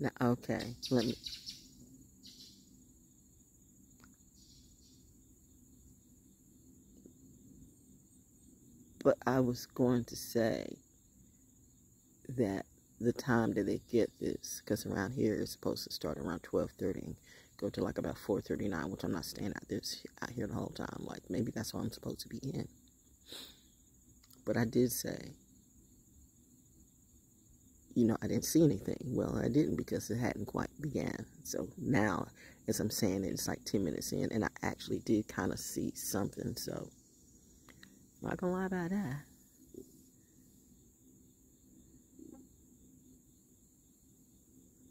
Now, okay, let me. But I was going to say that the time that they get this, because around here it's supposed to start around twelve thirty and go to like about four thirty nine, which I'm not staying out this out here the whole time. Like maybe that's all I'm supposed to be in. But I did say, you know, I didn't see anything. Well, I didn't because it hadn't quite began. So now, as I'm saying it, it's like 10 minutes in, and I actually did kind of see something. So, I'm not gonna lie about that.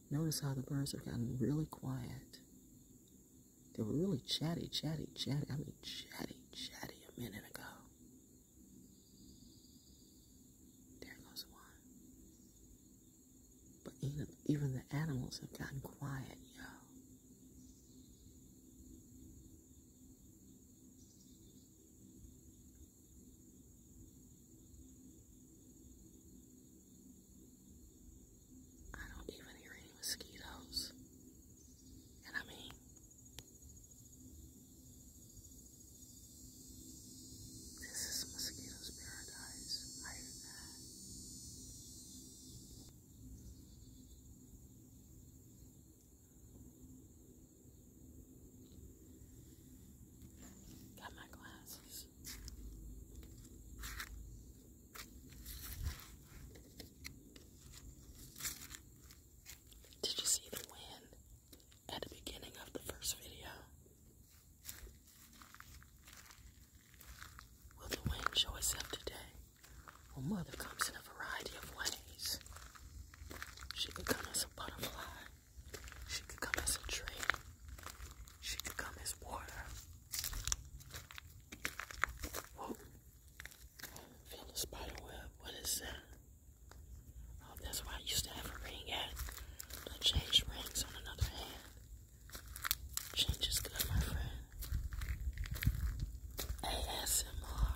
Notice how the birds have gotten really quiet. They were really chatty, chatty, chatty. I mean, chatty, chatty a minute ago. There goes one. But even, even the animals have gotten quiet, yo. I don't even hear any mosquitoes. And I mean, this is mosquitoes' paradise. I hear that. Got my glasses. Did you see the wind at the beginning of the first video? Will the wind show itself today? Well, Mother comes in a variety of ways. She could come as a butterfly, she could come as a tree, she could come as water, I feel the spider What is that? Oh, that's why I used to have a ring at. I changed rings on another hand. Change is good, my friend. ASMR.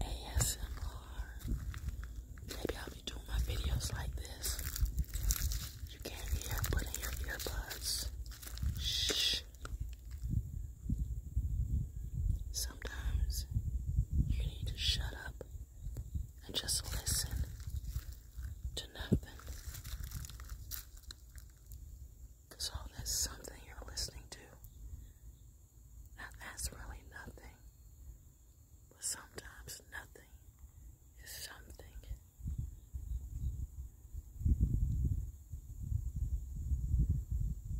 ASMR. Maybe I'll usually do my videos like this. You can't hear, put in your earbuds. Shh. Sometimes you need to shut up and just listen to nothing. Because all that's something you're listening to, that's really nothing. But sometimes nothing is something.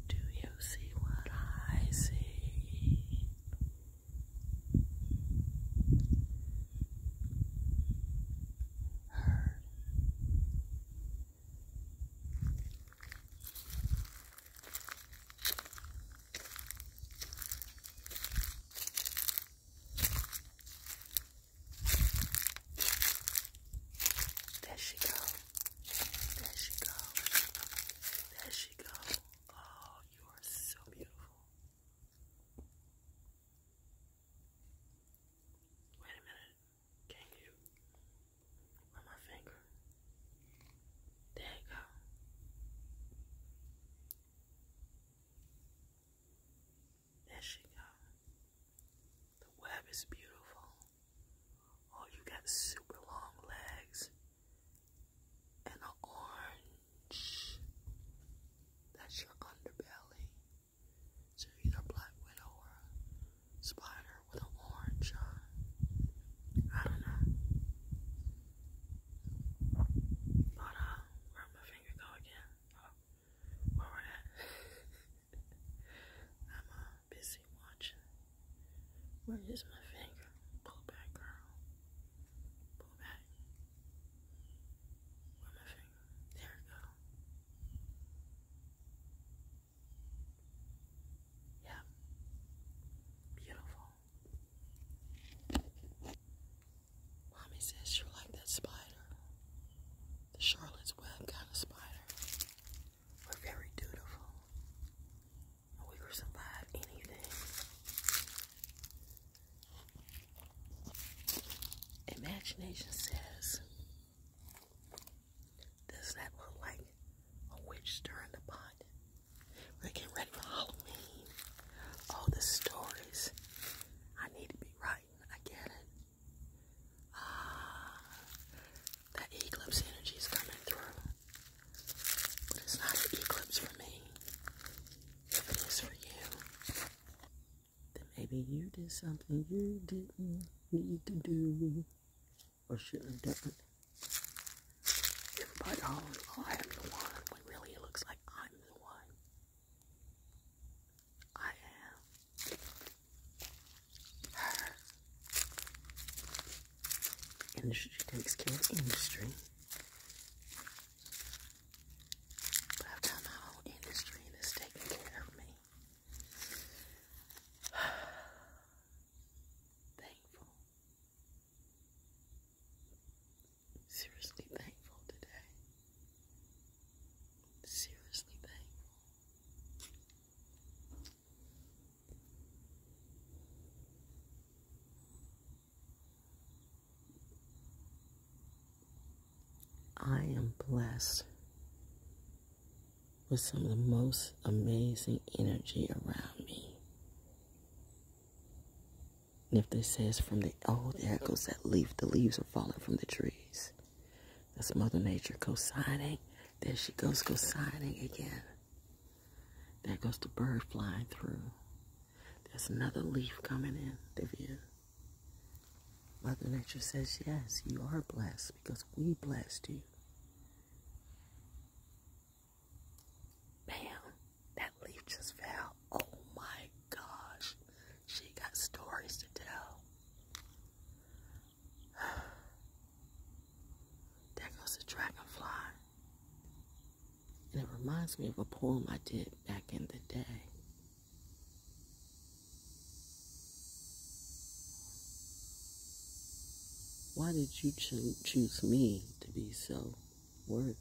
Do you see what I see? Heard. There she go. There she go. There she go. Oh, you are so beautiful. Wait a minute. Can you on my finger? There you go. There she go. The web is beautiful. Oh, you got super long legs and an orange. That's your underbelly. So you're either Black Widow or spider with an orange I don't know where'd my finger go again? Oh, where were that? I'm uh, busy watching. Where is my finger? Pull back, girl. Pull back. Where my finger? There it go. Yeah. Beautiful. Mommy says you like that spider. The Charlotte's Web kind of spider. We're very dutiful. we can survive anything. Imagination says, does that look like a witch stirring the pot. We're ready for Halloween. All the stories. I need to be writing. I get it. Ah, that eclipse energy is coming through. But it's not an eclipse for me. it is for you, then maybe you did something you didn't need to do or shouldn't have But oh, I am the one. Like really, it looks like I'm the one. I am her. And she takes care of industry. But I've got my own industry that's taking care of me. thankful. Seriously thankful today. Seriously thankful. I am blessed with some of the most amazing energy around me. And if this says from the old echoes that leaf, the leaves are falling from the trees. That's Mother Nature cosigning. signing There she goes cosigning again. That goes to bird flying through. There's another leaf coming in the view. Mother Nature says, yes, you are blessed because we blessed you. Bam, that leaf just fell. Oh my gosh, she got stories to tell. there goes the dragonfly. And it reminds me of a poem I did back in the day. Why did you choose me to be so worthy?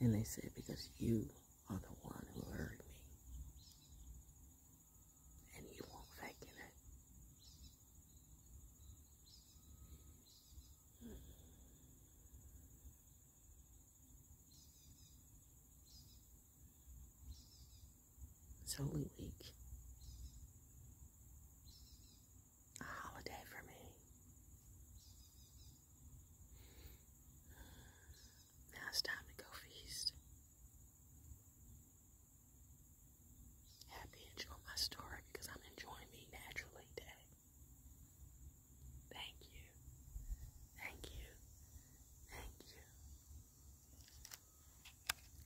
And they said, Because you are the one who heard me. And you won't faken it. It's Holy Week. A holiday for me. Now it's time to go feast. Happy enjoy my story because I'm enjoying me naturally today. Thank you. Thank you. Thank you.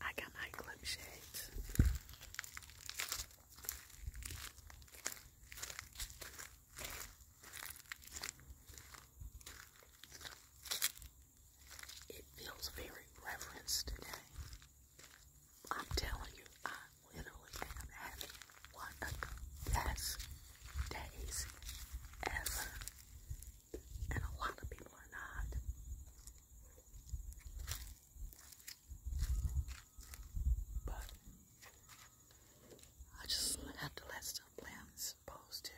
I got my clip shades. It feels very reverenced today. I'm telling you, I literally am having one of best days ever. And a lot of people are not. But I just have to let stuff play supposed to.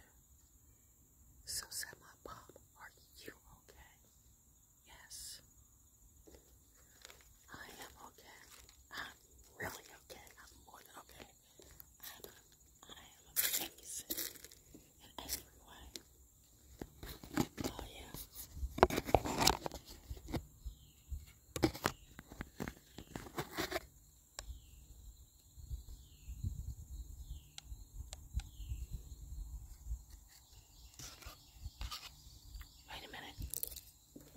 So said my mom, are you okay? Yes. I am okay. I'm really okay. I'm more than okay. I'm, I am amazing in every way. Oh, yeah. Wait a minute.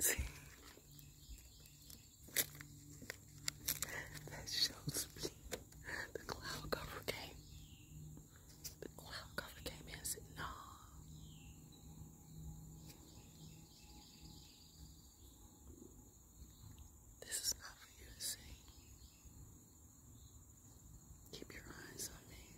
See? That shows me the cloud cover came. The cloud cover came and said, no. This is not for you to see. Keep your eyes on me.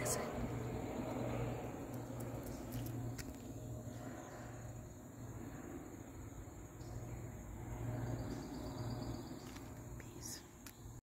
That's it. Peace.